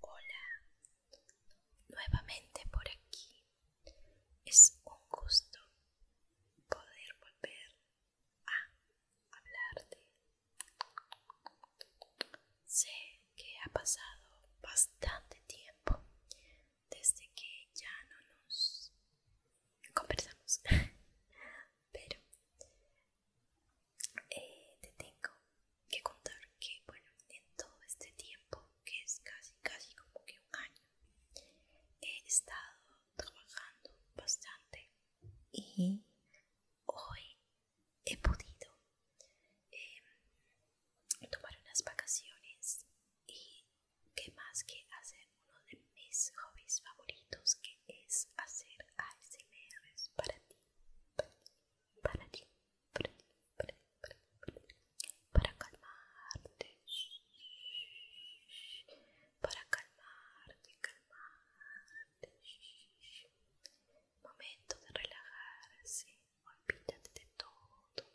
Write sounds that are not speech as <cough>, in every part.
Hola, nuevamente por aquí. Es un gusto poder volver a hablarte. Sé que ha pasado bastante tiempo desde que ya no nos conversamos. <laughs> pero eh, te tengo que contar que, bueno, en todo este tiempo, que es casi, casi como que un año, he estado trabajando bastante y hoy he podido em, tomar unas vacaciones y qué más que hacer uno de mis hobbies favoritos que es hacer ASMRs para ti, para ti, para calmarte, para calmarte, calmarte. Momento de relajarse, olvídate de todo.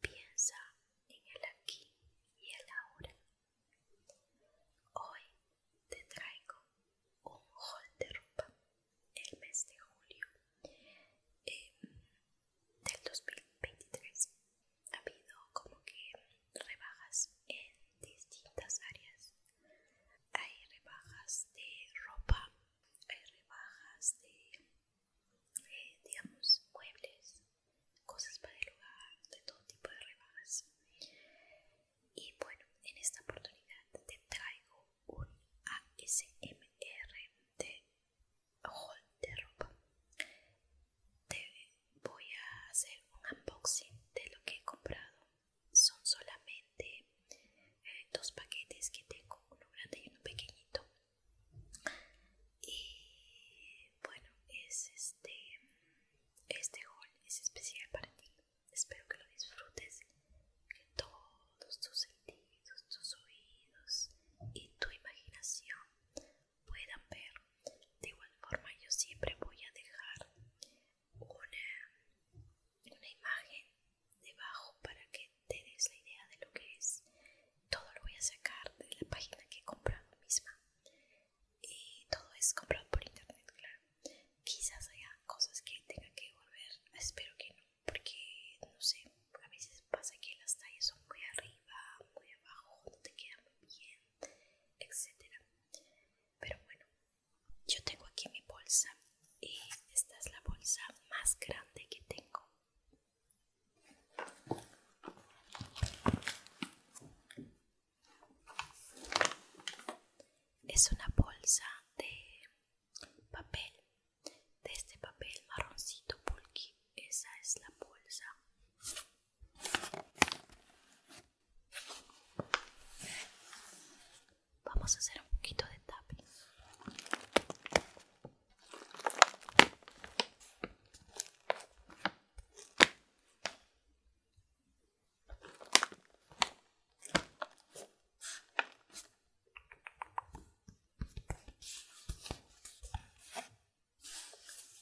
Piensa en el aquí y el ahora. Hoy te traigo un haul de ropa el mes de julio em, del 2023. Ha habido como que rebajas en distintas áreas. Hay rebajas de ropa, hay rebajas de eh, digamos, muebles, cosas para el hogar, de todo tipo de rebajas. Y bueno, en esta oportunidad te traigo un ASMR de haul de ropa. Te voy a hacer un unboxing de lo que he comprado. Son solamente eh, dos paquetes que tengo, uno grande y uno pequeñito. Y bueno, es este, este es especial para ti. Espero que lo disfrutes, que todos tus sentidos, tus oídos y tu imaginación puedan ver. De igual forma, yo siempre voy a dejar una, una imagen debajo para que te des la idea de lo que es todo lo voy a sacar de la página que he comprado misma y todo es comprado por internet claro quizás haya cosas que tenga que volver espero que no porque no sé a veces pasa que las tallas son muy arriba muy abajo no te quedan bien etcétera pero bueno yo tengo aquí mi bolsa y esta es la bolsa más grande que tengo es una bolsa de papel, de este papel marroncito pulqui. Esa es la bolsa. Vamos a hacer un poquito de tapping.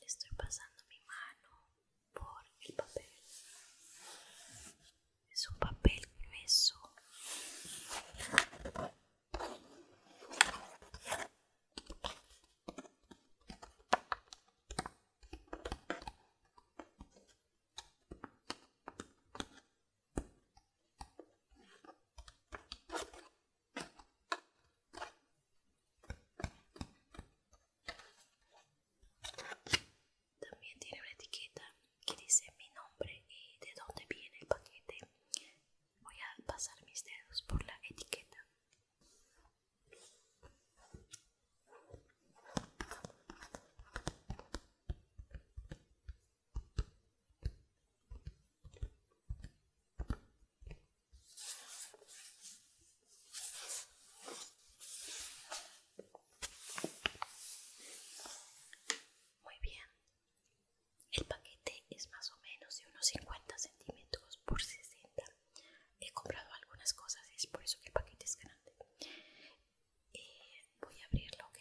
Estoy pasando mi mano por el papel. Es un papel grueso. También tiene una etiqueta que dice mi nombre y de dónde viene el paquete Voy a pasar mis dedos por la etiqueta. Muy bien, el paquete es más o menos de unos 50 centímetros por 60. He comprado algunas cosas y es por eso que el paquete es grande. Eh, voy a abrirlo, ¿ok?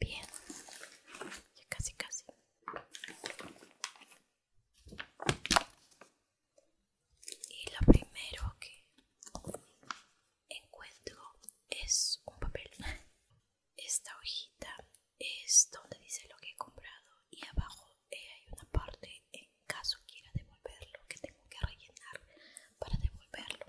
Bien, ya casi casi. Y lo primero que encuentro es un papel. Esta hojita es donde dice lo que he comprado y abajo eh, hay una parte en caso quiera devolverlo que tengo que rellenar para devolverlo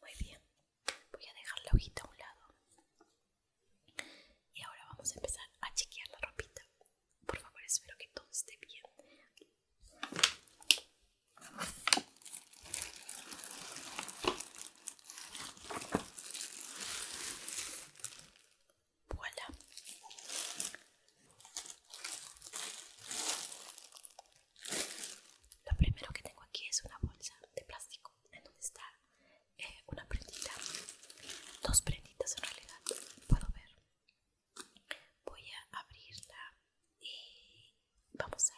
muy bien voy a dejar la hojita a un lado y ahora vamos a empezar a chequear la ropita por favor espero que todo esté bien hola lo primero que tengo aquí es una bolsa de plástico en donde está eh, una prendita, dos prenditas en realidad, puedo ver. Voy a abrirla y vamos a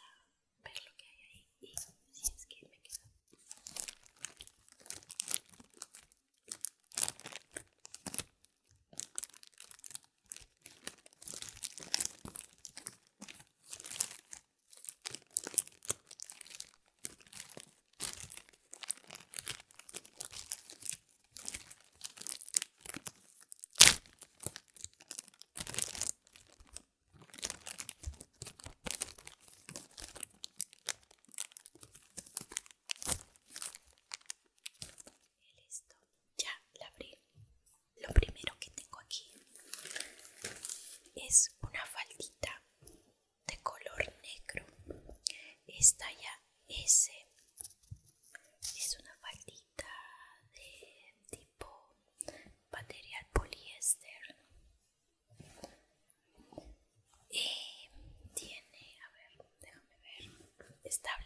ver lo que hay ahí y si es que me queda listo, ya la abrí. Lo primero que tengo aquí es una faldita de color negro esta ya ese es una faldita de tipo material poliéster eh, tiene a ver déjame ver esta es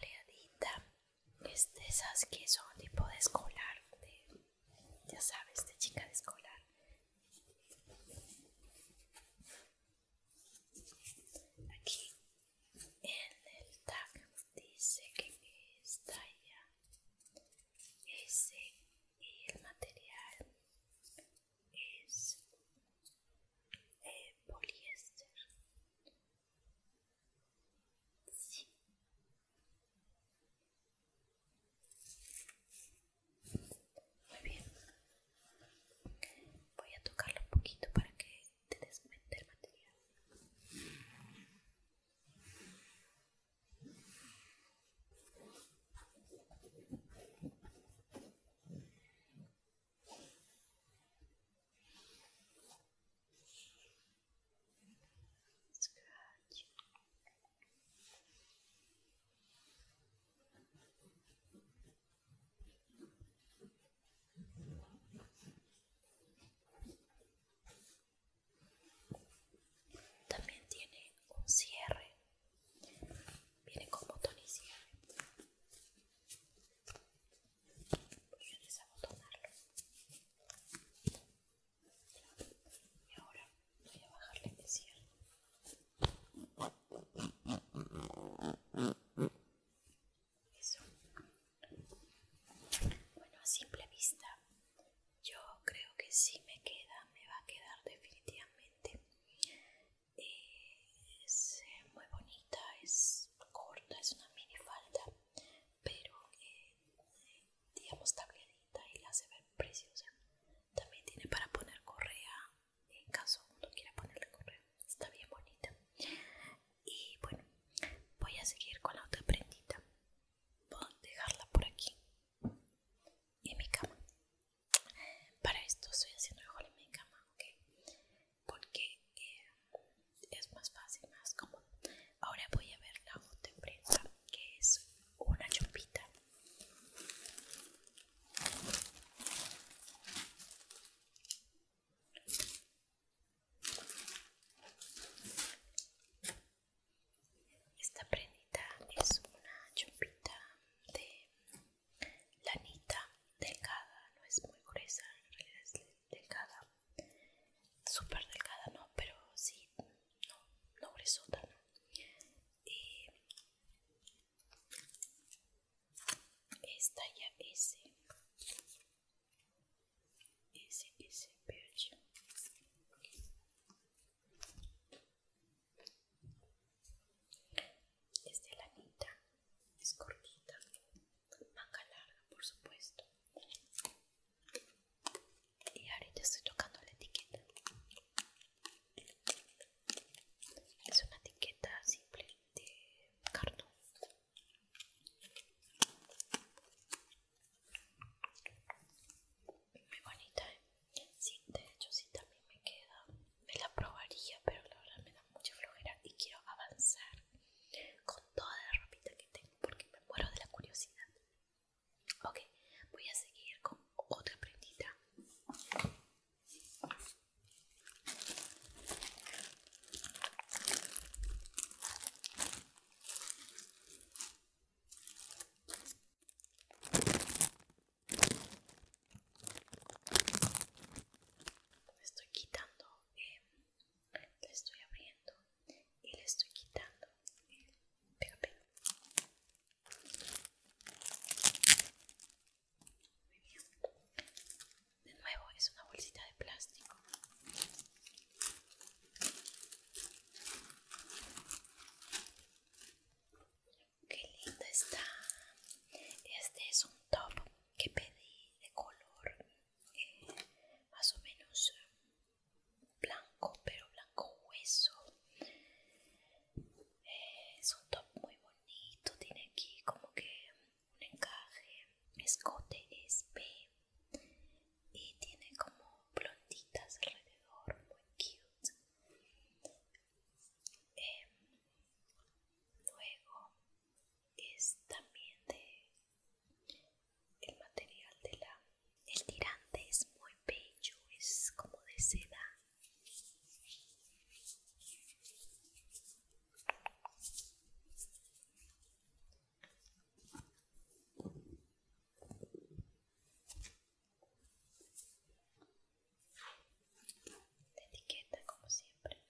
esas que son tipo de escolar de ya sabes, de chica de escolar. Aquí en el tag dice que es talla ese y el material es eh, poliéster. Sí. Muy bien. Voy a tocarlo un poquito para que te desmente el material. También tiene un cierre, viene con botón y cierre. a y ahora voy a bajarle el Eso. Bueno, a simple vista, yo creo que sí me queda, me va a quedar definitivamente. es eh, muy bonita, es corta, es una mini falda, pero eh, digamos tablita y la hace ver preciosa también tiene para poner correa en caso uno quiera ponerle correa está bien bonita y bueno voy a seguir con la otra prendita voy a dejarla por aquí en mi cama para esto estoy haciendo el en mi cama porque eh, es más fácil más cómodo ahora voy a ver la otra prenda que es una chupita esta prendita es una chupita de lanita delgada, no es muy gruesa, en realidad es delgada, súper delgada, no, pero sí no, resulta Eh, esta ya es ese ese es de lanita es cortita manga larga por supuesto y ahorita estoy tocando la etiqueta es una etiqueta simple de cartón muy bonita ¿eh? de hecho sí también me queda me la probaría pero la verdad me da mucha flojera y quiero avanzar con toda la ropita que tengo porque me muero de la curiosidad Ok, voy a seguir con otra prendita. estoy quitando, eh, le estoy abriendo y le estoy quitando el pega De nuevo es una bolsita de plástico. Qué linda está. Este es un top que pedí de color eh, más o menos blanco, pero blanco hueso. Eh, es un top muy bonito, tiene aquí como que un encaje, escote es y tiene como blonditas alrededor, muy cute. Eh, luego es también de el material de la tirante es muy bello es como de seda etiqueta como siempre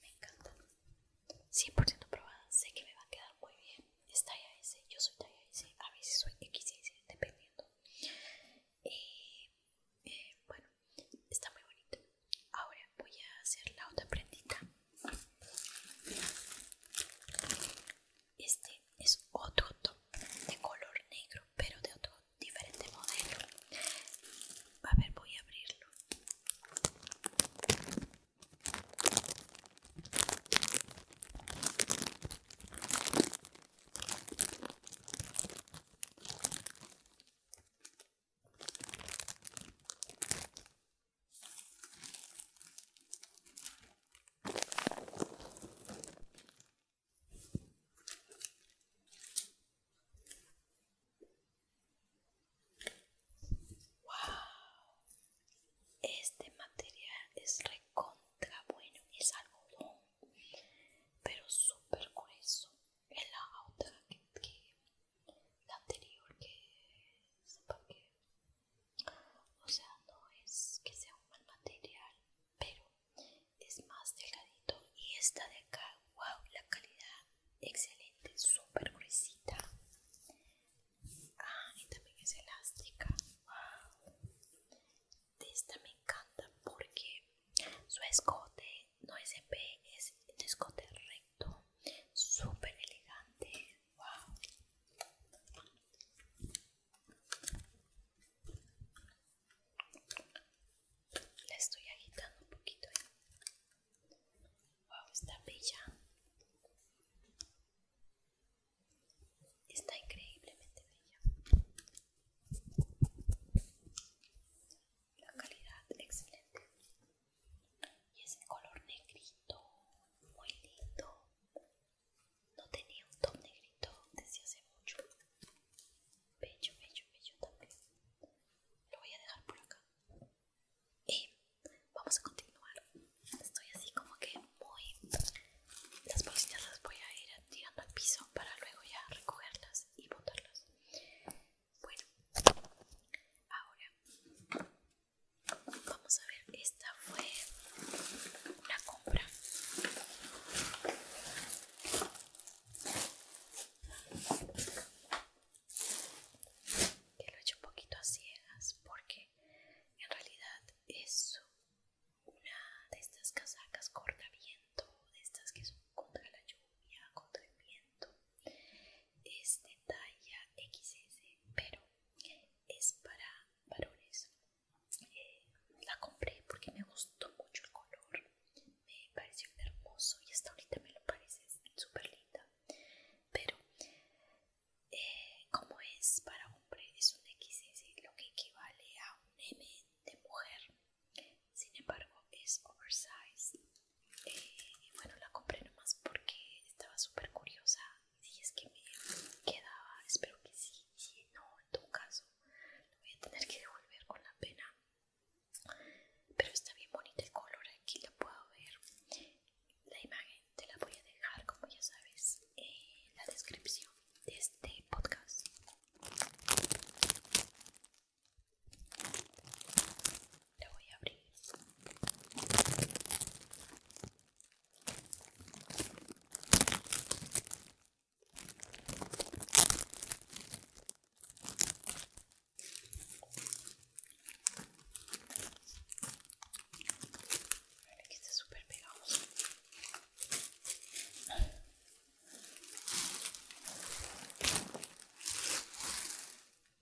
me encanta. 100% probada, sé que me va a quedar muy bien. Es talla S, yo soy talla S, a veces soy XS, dependiendo. Y eh, eh, bueno, está muy bonito. Ahora voy a hacer la otra prendita. Este es otro de color negro, pero de otro diferente modelo. A ver, voy a abrirlo. Wow. Este material es recontra bueno, es algodón, pero súper grueso. Es la otra que, la anterior que sepa que o sea, no es que sea un mal material, pero es más delgadito. Y esta de acá, wow, la calidad excelente, súper gruesita. Ah, y también es elástica. Wow. esta me encanta porque su escote no es en es un escote recto, súper elegante, la estoy agitando un poquito. Wow, está bella. Está increíblemente bella. La calidad excelente y es color negrito, muy lindo. No tenía un top negrito desde hace mucho. Bello, bello, tal también. Lo voy a dejar por acá. Y vamos a continuar. Estoy así como que muy... Las bolsitas las voy a ir tirando al piso para luego ya recogerlas y botarlas. Bueno, ahora Vamos a ver, esta fue una compra. Que lo he hecho un poquito a ciegas porque en realidad es una de estas casacas viento de estas que son contra la lluvia, contra el viento es de talla XS pero es para varones eh, la compré porque me gustó mucho el color me pareció hermoso y hasta ahorita me lo parece super linda pero eh, como es para hombre es un XS lo que equivale a un M de mujer sin embargo es oversized eh, bueno la compré nomás porque estaba súper curiosa si es que me quedaba espero que sí si no en todo caso lo voy a tener que devolver con la pena pero está bien bonito el color aquí lo puedo ver la imagen te la voy a dejar como ya sabes en la descripción de este podcast le voy a abrir Mira que está súper pegado.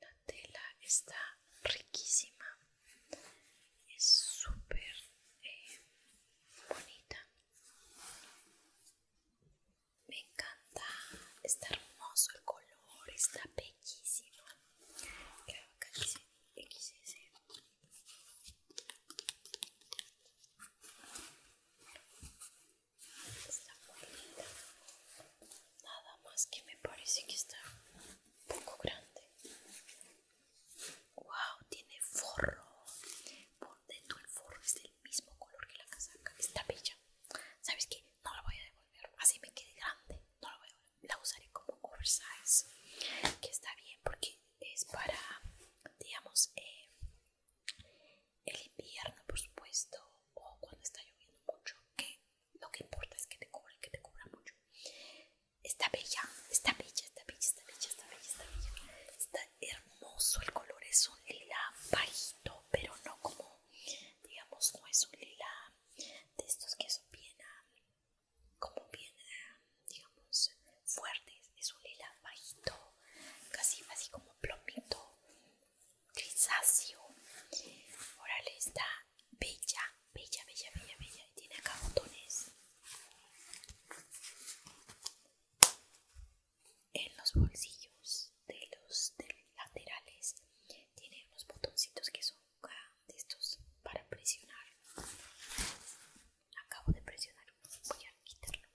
La tela está riquísima, es súper eh, bonita. Me encanta, está hermoso el color, está bellísima. Está Nada más que me parece que está un poco grande. Wow, tiene forro. Por dentro el forro es del mismo color que la casaca. Está bella. ¿Sabes qué? No la voy a devolver. Así me quede grande. No la voy a devolver. La usaré como oversize. Que está bien porque es para, digamos, eh, el invierno, por supuesto, o cuando está lloviendo mucho, que lo que importa es que te cubra, que te cubra mucho. Está bella, está bella, está bella, está bella, está bella, está bella. Está hermoso, el color es un lila bajito, pero no como, digamos, no es un lila de estos que son bien, como bien, digamos, fuertes. Es un lila bajito, casi así como plomito grisáceo. Órale, está bella, bella, bella, bella, bella. Y tiene acá botones en los bolsillos de los laterales. Tiene unos botoncitos que son de estos para presionar. Acabo de presionar voy a quitarlo.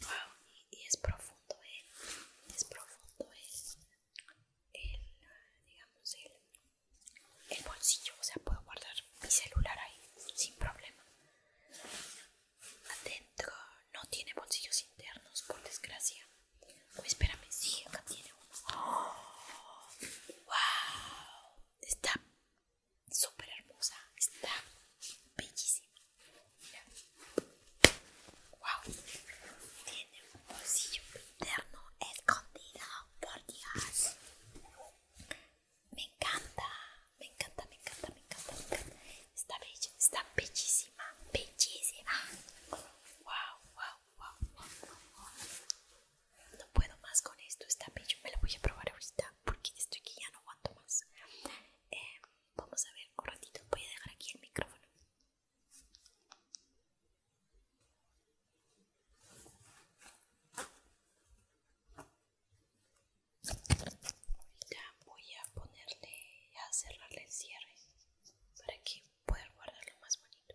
Wow, y, es profundo, ¿eh? Es profundo es ¿eh? el digamos, el, el bolsillo. O sea, puedo guardar mi celular ahí sin problema. Adentro no tiene bolsillos internos, por desgracia. espera espérame, sí, acá tiene uno. ¡Wow! ¡Oh! Está súper hermosa, está bellísima. Wow, tiene un bolsillo interno escondido, por Dios. Me encanta, me encanta, me encanta, me encanta, esta Está bellísima, bellísima. wow, wow, wow, wow no puedo más con esto, está bello, me lo voy a probar ahorita porque estoy que ya no aguanto más. Em, vamos a ver, un ratito voy a dejar aquí el micrófono. Ahorita voy a ponerle, a cerrarle el cierre para que pueda guardarlo más bonito.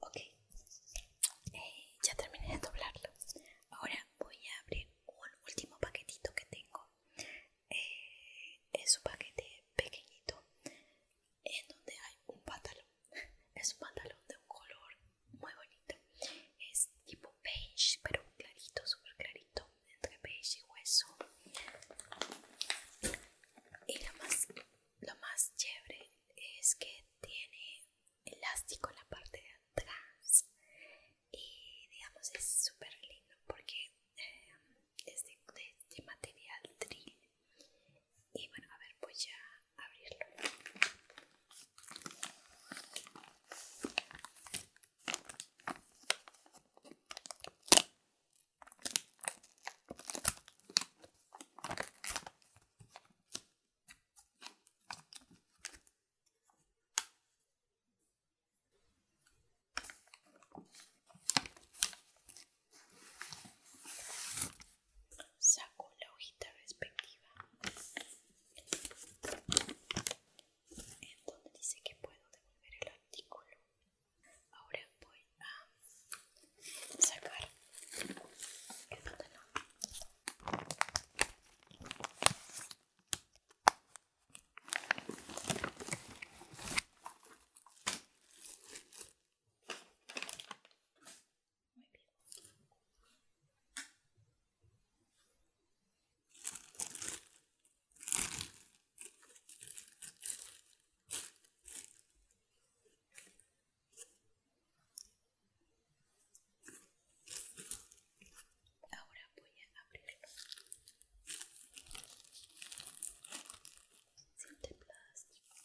Ok, eh, ya terminé de doblarlo. Ahora voy a abrir un último paquetito que tengo. Eh, es un paquete pequeñito en donde hay un pantalón. <laughs> Es un pantalón de un color muy bonito. Es tipo beige, pero clarito, Super clarito, entre beige y hueso. Y lo más, lo más chévere es que tiene elástico en la parte de atrás. Y digamos, es super lindo porque eh, es de, material drill. Y bueno, a ver, pues ya abrirlo saco la hojita respectiva en donde dice que puedo devolver el artículo. Ahora voy a sacar el Ahora voy a abrirlo. Siente plástico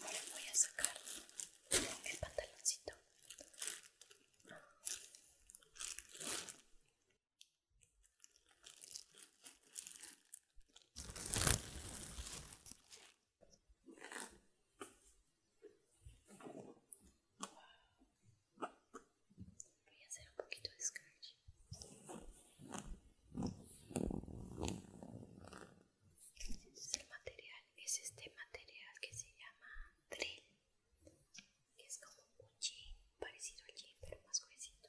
Ahora voy a sacar el pantaloncito voy a hacer un poquito de scratch entonces este el material es este material que se llama drill es como un jean parecido al jean pero más gruesito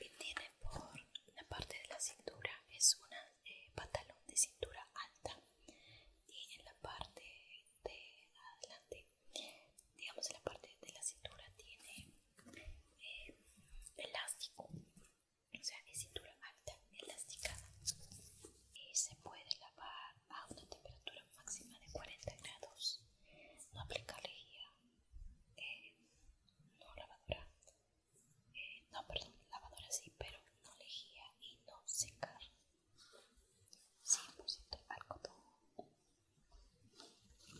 Y tiene por la parte de la cintura es un eh, pantalón de cintura alta y en la parte de adelante digamos en la parte de la cintura tiene eh, elástico o sea es cintura alta elástica y se puede lavar a una temperatura máxima de 40 grados no aplicarle guía eh, no lavadora, eh, no perdón, lavadora sí, pero no lejía y no secar, 100% algodón. Está muy bonito.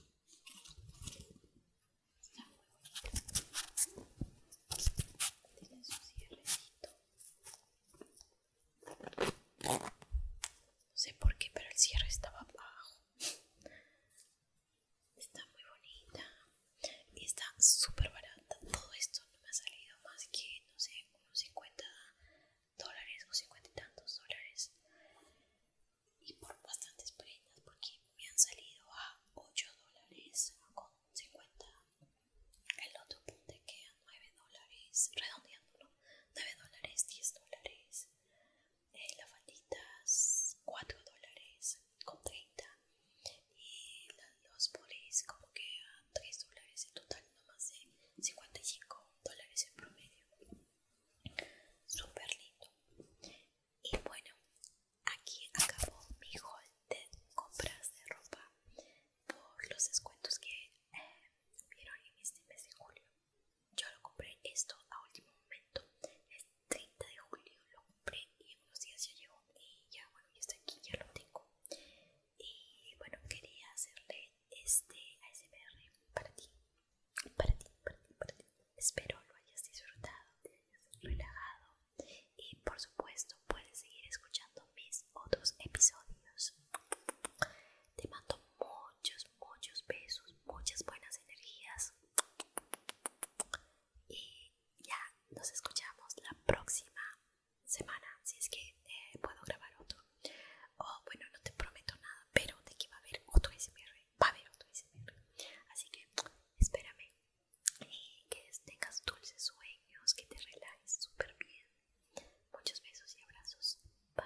Tiene su cierrecito. No sé por qué, pero el cierre estaba abajo. Está muy bonita y está súper barata. Todo esto no me ha salido más que, no sé, unos 50 dólares o 50 y tantos dólares. Y por bastantes prendas, porque me han salido a 8 dólares con 50. El otro punte que a 9 dólares, redondeándolo, 9 dólares, 10 dólares. Eh, las falditas 4 dólares con 30 y los polis como que a 3 dólares en total no más de 55 dólares en promedio super lindo y bueno aquí acabó mi haul de compras de ropa por los descuentos que tuvieron eh, vieron en este mes de julio yo lo compré esto a último momento, el 30 de julio lo compré y en unos días ya llegó y ya bueno, ya está aquí, ya lo tengo. Y bueno, quería hacerle este ASMR para ti, para ti, para ti, para ti. Espero lo hayas disfrutado, te hayas relajado y por supuesto puedes seguir escuchando mis otros episodios. Te mando muchos, muchos, besos, muchas buenas energías. Y ya nos escuchamos la próxima semana, si es que eh, puedo grabar otro. O oh, bueno, no te prometo nada, pero de que va a haber otro SMR, va a haber otro SMR. Así que espérame que tengas dulces sueños, que te relajes súper bien. Muchos besos y abrazos. Bye.